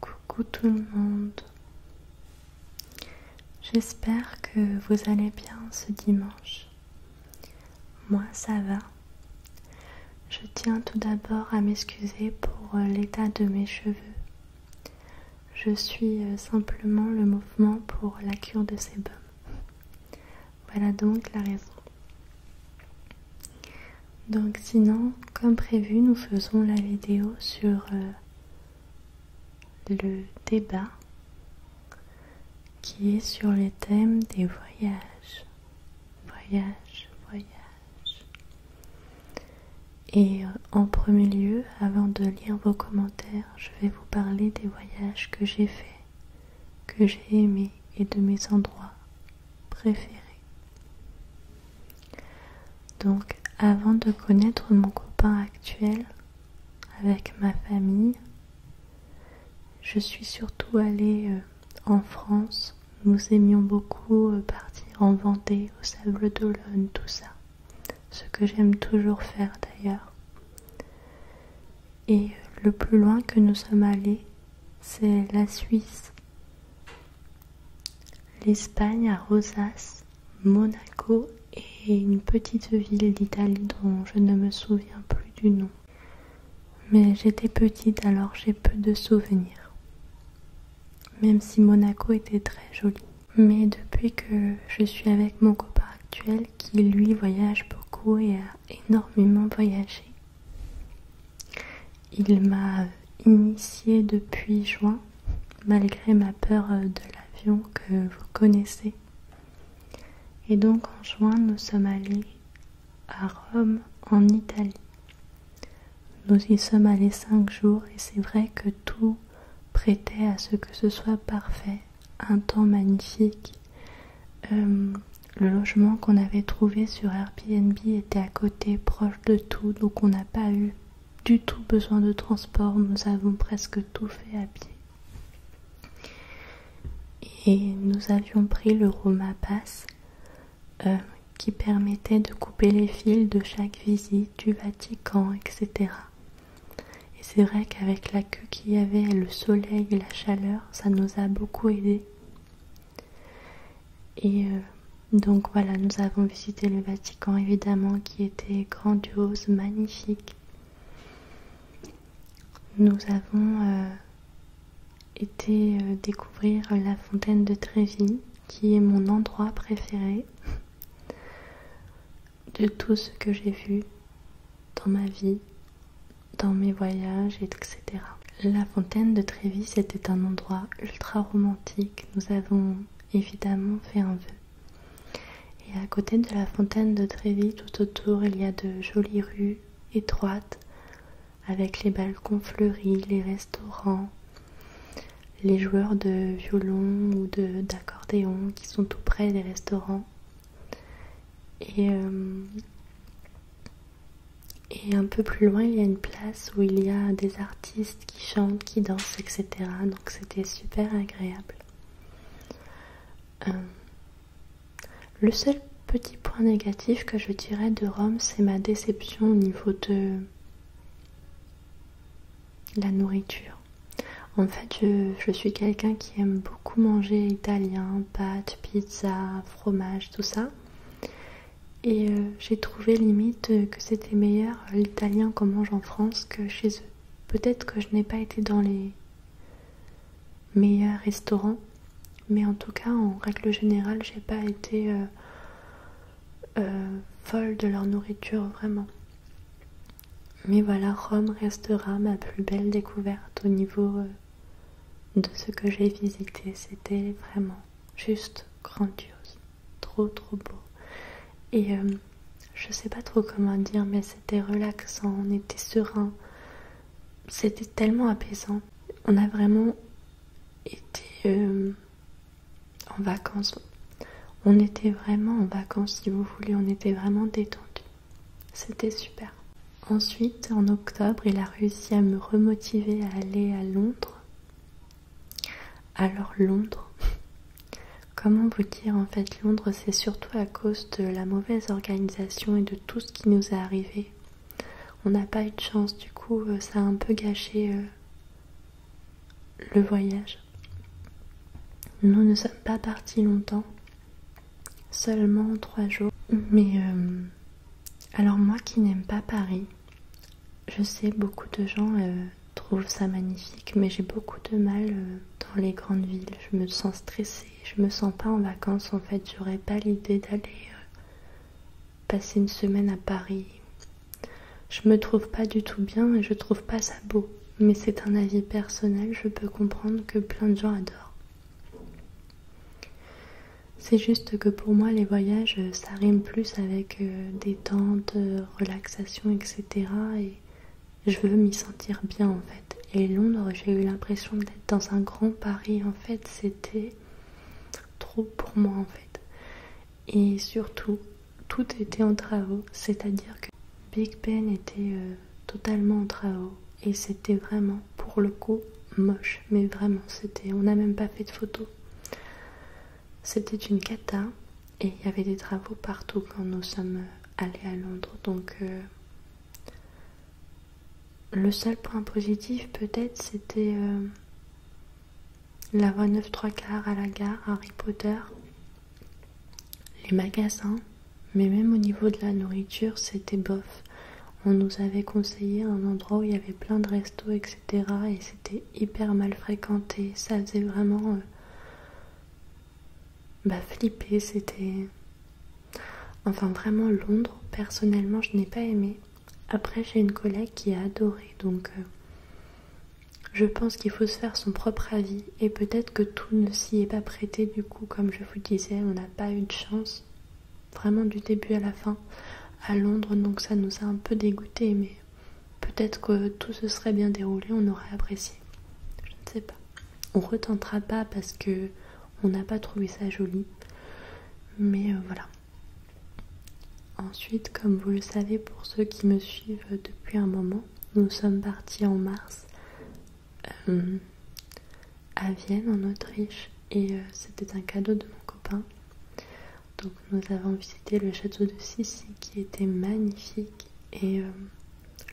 Coucou tout le monde. J'espère que vous allez bien ce dimanche. Moi ça va. Je tiens tout d'abord à m'excuser pour euh, l'état de mes cheveux. Je suis euh, simplement le mouvement pour la cure de sébum. Voilà donc la raison. Donc sinon, comme prévu, nous faisons la vidéo sur euh, le débat qui est sur le thème des voyages. Voyage, voyage. Et euh, en premier lieu, avant de lire vos commentaires, je vais vous parler des voyages que j'ai faits, que j'ai aimés et de mes endroits préféré. Donc avant de connaître mon copain actuel avec ma famille, je suis surtout allée euh, en France. Nous aimions beaucoup euh, partir en Vendée, au Sable d'Olonne, tout ça. Ce que j'aime toujours faire d'ailleurs. Et euh, le plus loin que nous sommes allés, c'est la Suisse L'Espagne à Rosas, Monaco et une petite ville d'Italie dont je ne me souviens plus du nom. Mais j'étais petite alors j'ai peu de souvenirs. Même si Monaco était très joli. Mais depuis que je suis avec mon copain actuel qui lui voyage beaucoup et a énormément voyagé, il m'a initié depuis juin, malgré ma peur euh, de l'avion que vous connaissez. Et donc en juin, nous sommes allés à Rome, en Italie. Nous y sommes allés cinq jours et c'est vrai que tout prêtait à ce que ce soit parfait, un temps magnifique. Euh, le logement qu'on avait trouvé sur Airbnb était à côté, proche de tout, donc on n'a pas eu du tout besoin de transport, nous avons presque tout fait à pied. Et nous avions pris le Roma Pass euh, qui permettait de couper les fils de chaque visite du Vatican, etc. Et c'est vrai qu'avec la queue qu'il y avait, le soleil et la chaleur, ça nous a beaucoup aidé. Et euh, donc voilà, nous avons visité le Vatican évidemment qui était grandiose, magnifique. Nous avons euh, été euh, découvrir la fontaine de Tréville, qui est mon endroit préféré de tout ce que j'ai vu dans ma vie, dans mes voyages, etc. La fontaine de Trévis était un endroit ultra romantique. Nous avons évidemment fait un vœu. Et à côté de la fontaine de Trévis, tout autour, il y a de jolies rues étroites avec les balcons fleuris, les restaurants, les joueurs de violon ou d'accordéon qui sont tout près des restaurants. Et euh, et un peu plus loin, il y a une place où il y a des artistes qui chantent, qui dansent, etc. Donc c'était super agréable. Euh, le seul petit point négatif que je dirais de Rome, c'est ma déception au niveau de la nourriture. En fait, je, je suis quelqu'un qui aime beaucoup manger italien, pâtes, pizza, fromage, tout ça. Et euh, j'ai trouvé limite euh, que c'était meilleur euh, l'italien qu'on mange en France que chez eux. Peut-être que je n'ai pas été dans les meilleurs restaurants, mais en tout cas, en règle générale, j'ai pas été folle de leur nourriture vraiment. Mais voilà, Rome restera ma plus belle découverte au niveau de ce que j'ai visité. C'était vraiment juste grandiose, trop trop beau. Et euh, je sais pas trop comment dire, mais c'était relaxant, on était serein, c'était tellement apaisant. On a vraiment été euh, en vacances. On était vraiment en vacances, si vous voulez, on était vraiment détendus. C'était super. Ensuite, en octobre, il a réussi à me remotiver à aller à Londres. Alors Londres, comment vous dire en fait Londres, c'est surtout à cause de la mauvaise organisation et de tout ce qui nous est arrivé. On n'a pas eu de chance, du coup, euh, ça a un peu gâché euh, le voyage. Nous ne sommes pas partis longtemps seulement trois jours. Mais euh, alors moi qui n'aime pas Paris, je sais beaucoup de gens euh, trouvent ça magnifique, mais j'ai beaucoup de mal euh, dans les grandes villes. Je me sens stressée, je me sens pas en vacances en fait. J'aurais pas l'idée d'aller passer une semaine à Paris. Je me trouve pas du tout bien et je trouve pas ça beau. Mais c'est un avis personnel, je peux comprendre que plein de gens adorent. C'est juste que pour moi, les voyages, euh, ça rime plus avec euh, détente, euh, relaxation, etc. Et je veux m'y sentir bien en fait. Et Londres, j'ai eu l'impression d'être dans un grand Paris en fait. C'était trop pour moi en fait. Et surtout, tout était en travaux, c'est-à-dire que Big Ben était totalement en travaux et c'était vraiment pour le coup moche mais vraiment c'était on n'a même pas fait de photos c'était une cata et il y avait des travaux partout quand nous sommes allés à Londres donc euh, le seul point positif peut-être c'était euh, la voie 9 3 quarts à la gare Harry Potter les magasins mais même au niveau de la nourriture, c'était bof. On nous avait conseillé un endroit où il y avait plein de restos, etc. Et c'était hyper mal fréquenté. Ça faisait vraiment. Euh, bah, flipper. C'était. Enfin, vraiment, Londres, personnellement, je n'ai pas aimé. Après, j'ai une collègue qui a adoré. Donc. Euh, je pense qu'il faut se faire son propre avis. Et peut-être que tout ne s'y est pas prêté, du coup, comme je vous disais, on n'a pas eu de chance vraiment du début à la fin, à Londres, donc ça nous a un peu dégoûté, mais peut-être que tout se serait bien déroulé, on aurait apprécié. Je ne sais pas. On retentera pas parce que on n'a pas trouvé ça joli, mais euh, voilà. Ensuite, comme vous le savez, pour ceux qui me suivent depuis un moment, nous sommes partis en mars euh, à Vienne en Autriche et euh, c'était un cadeau de mon copain. Donc nous avons visité le château de Sissi qui était magnifique et euh,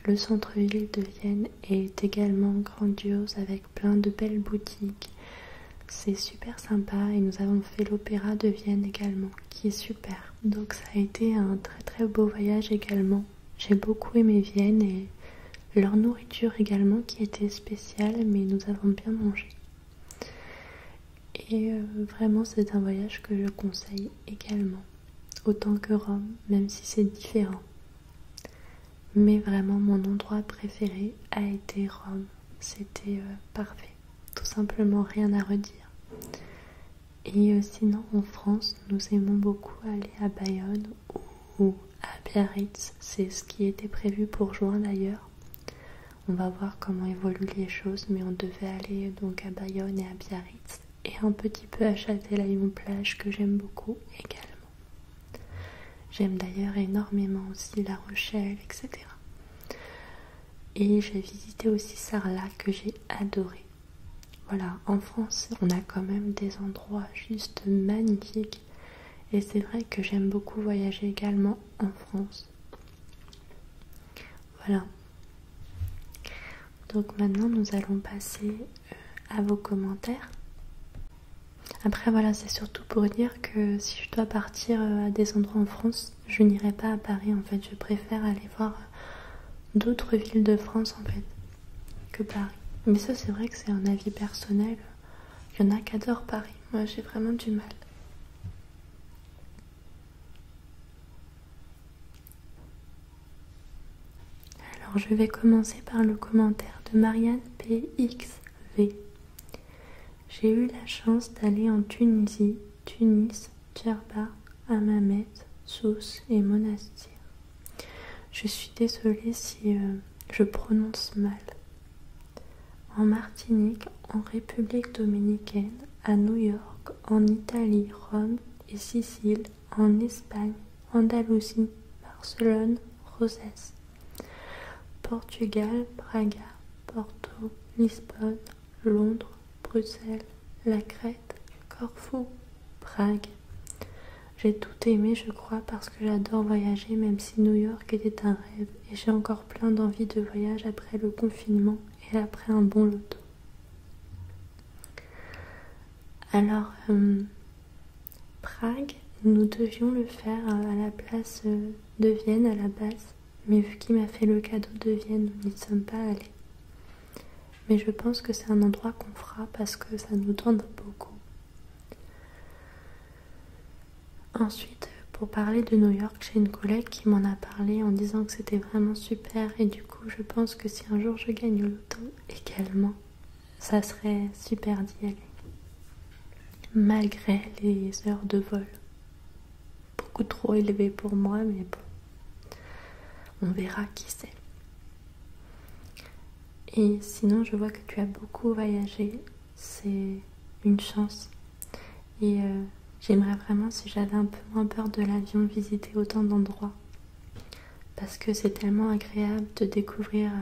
le centre-ville de Vienne est également grandiose avec plein de belles boutiques. C'est super sympa et nous avons fait l'opéra de Vienne également qui est super. Donc ça a été un très très beau voyage également j'ai beaucoup aimé Vienne et leur nourriture également qui était spéciale, mais nous avons bien mangé. Et euh, vraiment, c'est un voyage que je conseille également, autant que Rome, même si c'est différent. Mais vraiment, mon endroit préféré a été Rome. C'était euh, parfait, tout simplement rien à redire. Et euh, sinon, en France, nous aimons beaucoup aller à Bayonne ou à Biarritz. C'est ce qui était prévu pour juin d'ailleurs. On va voir comment évoluent les choses, mais on devait aller donc à Bayonne et à Biarritz et un petit peu à Châtelaillon-Plage que j'aime beaucoup également. J'aime d'ailleurs énormément aussi La Rochelle, etc. Et j'ai visité aussi Sarlat que j'ai adoré. Voilà, en France, on a quand même des endroits juste magnifiques. Et c'est vrai que j'aime beaucoup voyager également en France. Voilà. Donc maintenant, nous allons passer euh, à vos commentaires. Après, voilà, c'est surtout pour dire que si je dois partir euh, à des endroits en France, je n'irai pas à Paris en fait. Je préfère aller voir euh, d'autres villes de France en fait que Paris. Mais ça, c'est vrai que c'est un avis personnel. Il y en a qui adorent Paris. Moi, j'ai vraiment du mal. Alors, je vais commencer par le commentaire de Marianne PXV. J'ai eu la chance d'aller en Tunisie, Tunis, Djerba, Amamet, Sousse et Monastir. Je suis désolée si euh, je prononce mal. En Martinique, en République dominicaine, à New York, en Italie, Rome et Sicile, en Espagne, Andalousie, Barcelone, Rosès, Portugal, Braga, Porto, Lisbonne, Londres, Bruxelles, la Crète, Corfou, Prague. J'ai tout aimé, je crois, parce que j'adore voyager, même si New York était un rêve, et j'ai encore plein d'envie de voyage après le confinement et après un bon loto. Alors, euh, Prague, nous devions le faire à la place euh, de Vienne à la base, mais vu qu'il m'a fait le cadeau de Vienne, nous n'y sommes pas allés mais je pense que c'est un endroit qu'on fera parce que ça nous donne beaucoup. Ensuite, pour parler de New York, j'ai une collègue qui m'en a parlé en disant que c'était vraiment super et du coup je pense que si un jour je gagne le temps également, ça serait super d'y aller. Malgré les heures de vol. Beaucoup trop élevées pour moi, mais bon. On verra qui sait et sinon, je vois que tu as beaucoup voyagé. C'est une chance. Et euh, j'aimerais vraiment, si j'avais un peu moins peur de l'avion, visiter autant d'endroits. Parce que c'est tellement agréable de découvrir euh,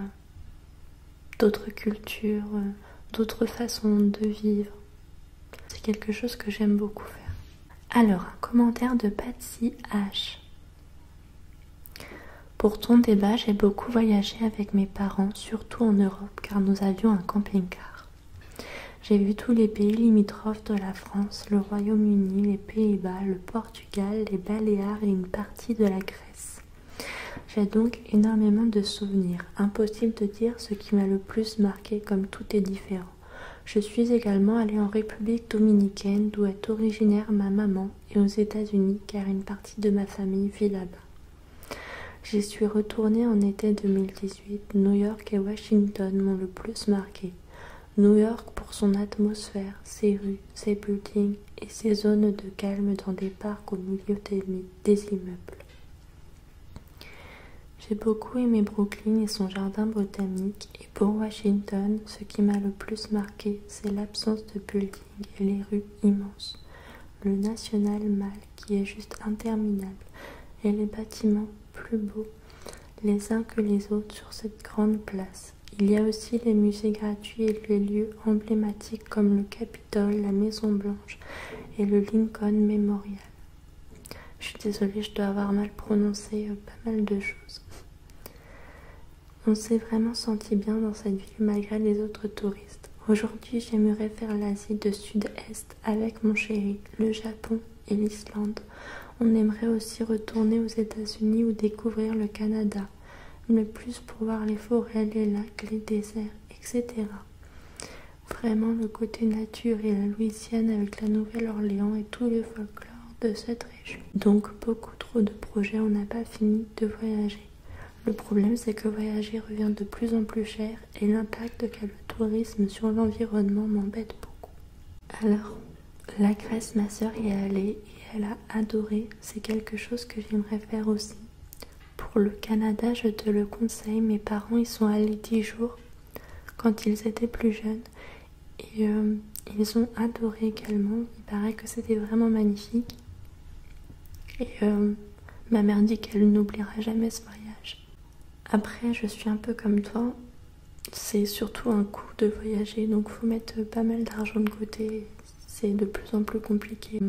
d'autres cultures, euh, d'autres façons de vivre. C'est quelque chose que j'aime beaucoup faire. Alors, un commentaire de Patsy H. Pour ton débat, j'ai beaucoup voyagé avec mes parents, surtout en Europe, car nous avions un camping-car. J'ai vu tous les pays limitrophes de la France, le Royaume-Uni, les Pays-Bas, le Portugal, les Baléares et une partie de la Grèce. J'ai donc énormément de souvenirs, impossible de dire ce qui m'a le plus marqué comme tout est différent. Je suis également allée en République dominicaine d'où est originaire ma maman et aux États-Unis car une partie de ma famille vit là-bas. J'y suis retournée en été 2018. New York et Washington m'ont le plus marqué. New York pour son atmosphère, ses rues, ses buildings et ses zones de calme dans des parcs au milieu des, des immeubles. J'ai beaucoup aimé Brooklyn et son jardin botanique pour Washington, ce qui m'a le plus marqué, c'est l'absence de buildings et les rues immenses. Le National Mall qui est juste interminable et les bâtiments plus beaux les uns que les autres sur cette grande place. Il y a aussi les musées gratuits et les lieux emblématiques comme le Capitole, la Maison Blanche et le Lincoln Memorial. Je suis désolée, je dois avoir mal prononcé euh, pas mal de choses. On s'est vraiment senti bien dans cette ville malgré les autres touristes. Aujourd'hui, j'aimerais faire l'Asie de Sud-Est avec mon chéri, le Japon et l'Islande. On aimerait aussi retourner aux États-Unis ou découvrir le Canada, le plus pour voir les forêts, les lacs, les déserts, etc. Vraiment, le côté nature et la Louisiane avec la Nouvelle-Orléans et tout le folklore de cette région. Donc beaucoup trop de projets, on n'a pas fini de voyager. Le problème c'est que voyager revient de plus en plus cher et l'impact qu'a le tourisme sur l'environnement m'embête beaucoup. Alors, la Grèce, ma soeur y est allée et elle a adoré, c'est quelque chose que j'aimerais faire aussi. Pour le Canada, je te le conseille, mes parents y sont allés 10 jours quand ils étaient plus jeunes et euh, ils ont adoré également. Il paraît que c'était vraiment magnifique. Et euh, ma mère dit qu'elle n'oubliera jamais ce voyage. Après, je suis un peu comme toi. C'est surtout un coût de voyager, donc faut mettre pas mal d'argent de côté. C'est de plus en plus compliqué.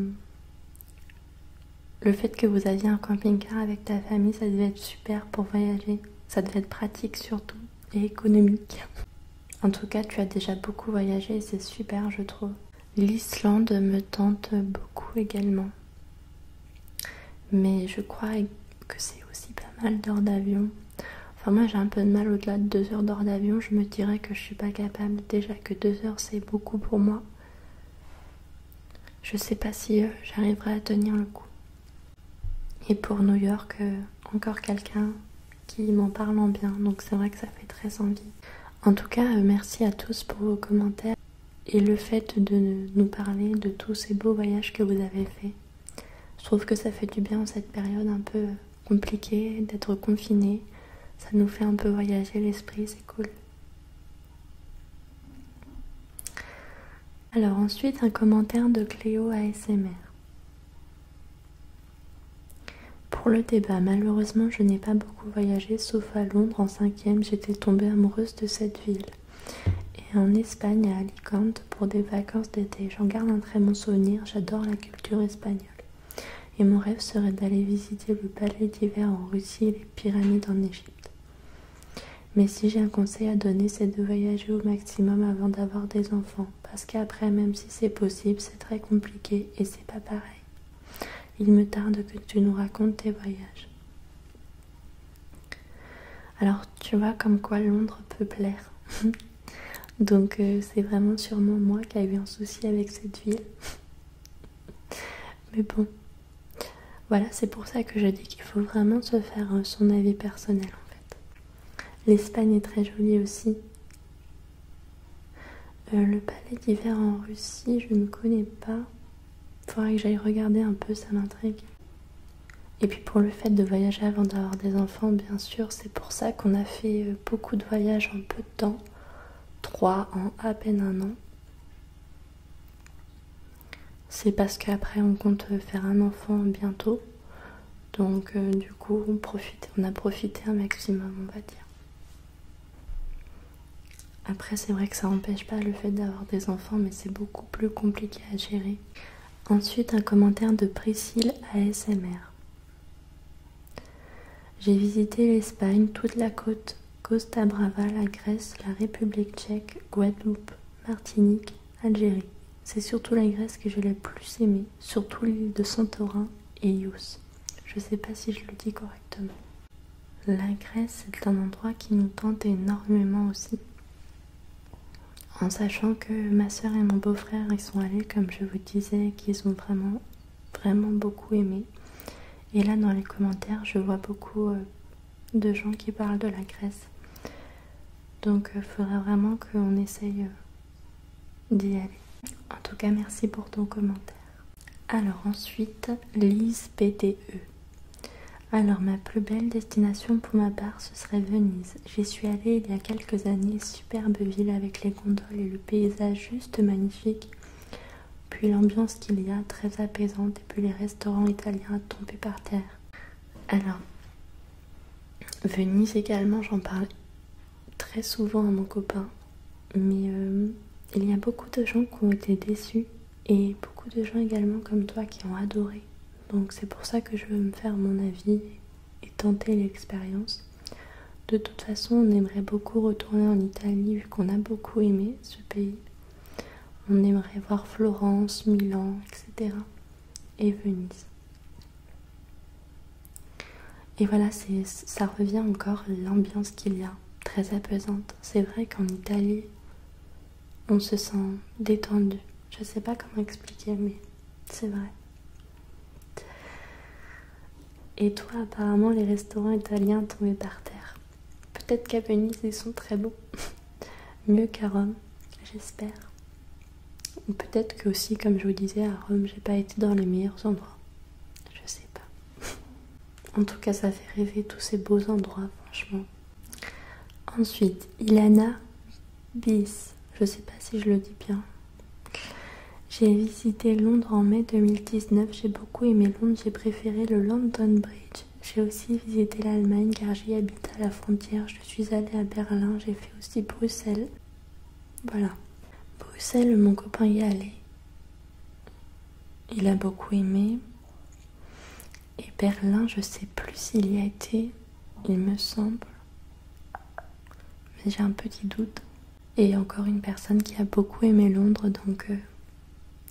Le fait que vous aviez un camping-car avec ta famille, ça devait être super pour voyager. Ça devait être pratique surtout et économique. En tout cas, tu as déjà beaucoup voyagé et c'est super, je trouve. L'Islande me tente beaucoup également. Mais je crois que c'est aussi pas mal d'heures d'avion. Enfin, moi j'ai un peu de mal au-delà de deux heures d'heures d'avion. Je me dirais que je suis pas capable. Déjà que deux heures c'est beaucoup pour moi. Je sais pas si euh, j'arriverai à tenir le coup. Et pour New York, euh, encore quelqu'un qui m'en parle en bien, donc c'est vrai que ça fait très envie. En tout cas, euh, merci à tous pour vos commentaires et le fait de nous parler de tous ces beaux voyages que vous avez faits. Je trouve que ça fait du bien en cette période un peu euh, compliquée d'être confiné. Ça nous fait un peu voyager l'esprit, c'est cool. Alors ensuite, un commentaire de Cléo ASMR. Pour le débat, malheureusement, je n'ai pas beaucoup voyagé, sauf à Londres en 5 cinquième, j'étais tombée amoureuse de cette ville. Et en Espagne, à Alicante, pour des vacances d'été, j'en garde un très bon souvenir, j'adore la culture espagnole. Et mon rêve serait d'aller visiter le palais d'hiver en Russie et les pyramides en Égypte. Mais si j'ai un conseil à donner, c'est de voyager au maximum avant d'avoir des enfants. Parce qu'après, même si c'est possible, c'est très compliqué et c'est pas pareil. Il me tarde que tu nous racontes tes voyages. Alors, tu vois comme quoi Londres peut plaire. Donc, euh, c'est vraiment sûrement moi qui ai eu un souci avec cette ville. Mais bon, voilà, c'est pour ça que je dis qu'il faut vraiment se faire euh, son avis personnel en fait. L'Espagne est très jolie aussi. Euh, le palais d'hiver en Russie, je ne connais pas. Il faudrait que j'aille regarder un peu, ça m'intrigue. Et puis pour le fait de voyager avant d'avoir des enfants, bien sûr, c'est pour ça qu'on a fait euh, beaucoup de voyages en peu de temps. Trois en à peine un an. C'est parce qu'après on compte faire un enfant bientôt. Donc euh, du coup on, profite, on a profité un maximum on va dire. Après c'est vrai que ça empêche pas le fait d'avoir des enfants mais c'est beaucoup plus compliqué à gérer. Ensuite un commentaire de Priscille ASMR. J'ai visité l'Espagne, toute la côte Costa Brava, la Grèce, la République tchèque, Guadeloupe, Martinique, Algérie. C'est surtout la Grèce que je l'ai plus aimée, surtout l'île de Santorin et Ios. Je sais pas si je le dis correctement. La Grèce est un endroit qui nous tente énormément aussi. En sachant que ma soeur et mon beau-frère ils sont allés, comme je vous disais, qu'ils ont vraiment, vraiment beaucoup aimé. Et là, dans les commentaires, je vois beaucoup euh, de gens qui parlent de la Grèce. Donc il euh, faudrait vraiment qu'on essaye euh, d'y aller. En tout cas, merci pour ton commentaire. Alors ensuite, Lise PTE. Alors ma plus belle destination pour ma part, ce serait Venise. J'y suis allée il y a quelques années, superbe ville avec les gondoles et le paysage juste magnifique puis l'ambiance qu'il y a très apaisante, et puis les restaurants italiens à tomber par terre. Alors, Venise également, j'en parle très souvent à mon copain, mais euh, il y a beaucoup de gens qui ont été déçus et beaucoup de gens également comme toi qui ont adoré. Donc c'est pour ça que je veux me faire mon avis et tenter l'expérience. De toute façon, on aimerait beaucoup retourner en Italie vu qu'on a beaucoup aimé ce pays. On aimerait voir Florence, Milan, etc. et Venise. Et voilà, ça revient encore l'ambiance qu'il y a, très apaisante. C'est vrai qu'en Italie, on se sent détendu. Je ne sais pas comment expliquer, mais c'est vrai. Et toi, apparemment, les restaurants italiens tombés par terre. Peut-être qu'à Venise, ils sont très beaux. Mieux qu'à Rome, j'espère. Ou peut-être que aussi, comme je vous disais, à Rome, j'ai pas été dans les meilleurs endroits. Je sais pas. En tout cas, ça fait rêver tous ces beaux endroits, franchement. Ensuite, Ilana Bis. Je sais pas si je le dis bien. J'ai visité Londres en mai 2019 beaucoup aimé Londres, j'ai préféré le London Bridge. J'ai aussi visité l'Allemagne car j'y habite à la frontière. Je suis allée à Berlin, j'ai fait aussi Bruxelles. Voilà. Bruxelles, mon copain y est allé. Il a beaucoup aimé. Et Berlin, je sais plus s'il y a été, il me semble. Mais j'ai un petit doute. Et encore une personne qui a beaucoup aimé Londres, donc, euh,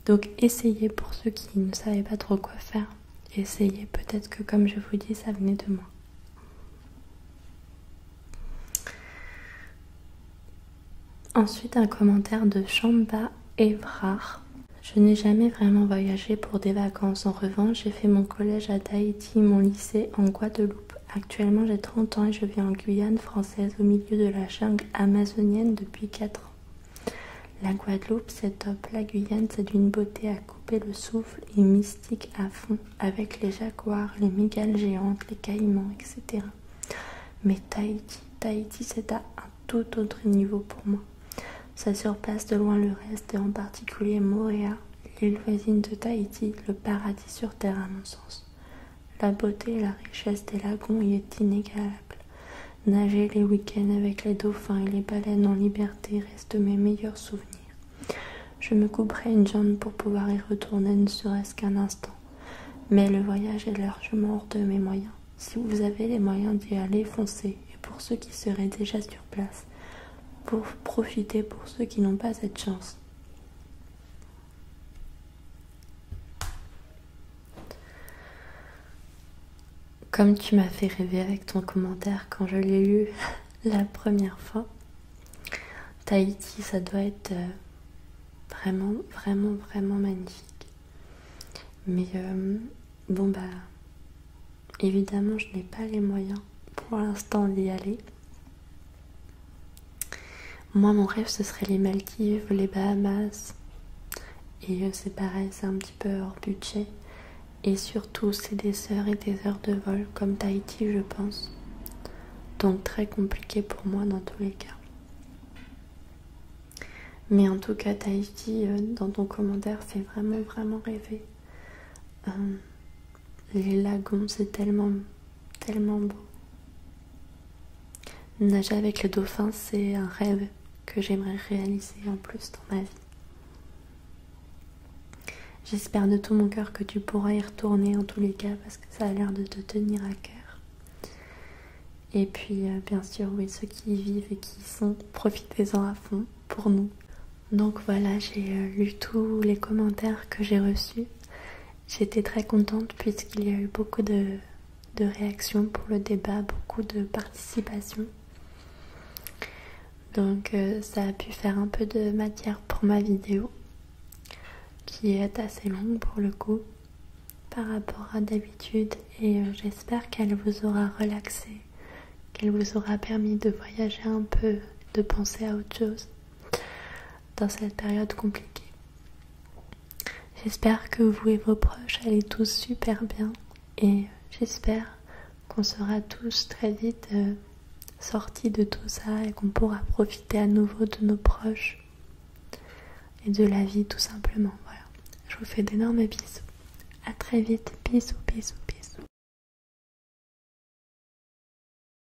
donc essayez pour ceux qui ne savaient pas trop quoi faire. Essayez, peut-être que comme je vous dis, ça venait de moi. Ensuite, un commentaire de Chamba Evrar. Je n'ai jamais vraiment voyagé pour des vacances. En revanche, j'ai fait mon collège à Tahiti, mon lycée en Guadeloupe. Actuellement, j'ai 30 ans et je vis en Guyane français au milieu de la jungle amazonienne depuis 4 ans. La Guadeloupe, c'est top. La Guyane, c'est d'une beauté à couper le souffle et mystique à fond, avec les jaguars, les mégales géantes, les caïmans, etc. Mais Tahiti, Tahiti, c'est à un tout autre niveau pour moi. Ça surpasse de loin le reste, et en particulier Moréa, l'île voisine de Tahiti, le paradis sur terre à mon sens. La beauté et la richesse des lagons y est inégalable. Nager les week-ends avec les dauphins et les baleines en liberté reste mes meilleurs souvenirs. Je me couperai une jambe pour pouvoir y retourner ne serait-ce qu'un instant. Mais le voyage est largement hors de mes moyens. Si vous avez les moyens d'y aller, foncez. Et pour ceux qui seraient déjà sur place, profitez pour ceux qui n'ont pas cette chance. Comme tu m'as fait rêver avec ton commentaire quand je l'ai lu la première fois, Tahiti, ça doit être euh, vraiment, vraiment, vraiment magnifique. Mais euh, bon, bah, évidemment, je n'ai pas les moyens pour l'instant d'y aller. Moi, mon rêve, ce serait les Maldives, les Bahamas. Et euh, c'est pareil, c'est un petit peu hors budget. Et surtout, c'est des heures et des heures de vol, comme Tahiti, je pense. Donc très compliqué pour moi dans tous les cas. Mais en tout cas, Tahiti, euh, dans ton commentaire, c'est vraiment, vraiment rêvé euh, les lagons, c'est tellement, tellement beau. Nager avec le dauphin, c'est un rêve que j'aimerais réaliser en plus dans ma vie. J'espère de tout mon cœur que tu pourras y retourner en tous les cas parce que ça a l'air de te tenir à cœur. Et puis euh, bien sûr, oui, ceux qui y vivent et qui y sont, profitez-en à fond pour nous. Donc voilà, j'ai euh, lu tous les commentaires que j'ai reçus J'étais très contente puisqu'il y a eu beaucoup de, réactions pour le débat, beaucoup de participation. Donc euh, ça a pu faire un peu de matière pour ma vidéo, qui est assez longue pour le coup par rapport à d'habitude et euh, j'espère qu'elle vous aura relaxé, qu'elle vous aura permis de voyager un peu, de penser à autre chose dans cette période compliquée. J'espère que vous et vos proches allez tous super bien et j'espère qu'on sera tous très vite euh, sortis de tout ça et qu'on pourra profiter à nouveau de nos proches et de la vie tout simplement. Voilà. Je vous fais d'énormes bisous. À très vite. Bisous, bisous, bisous.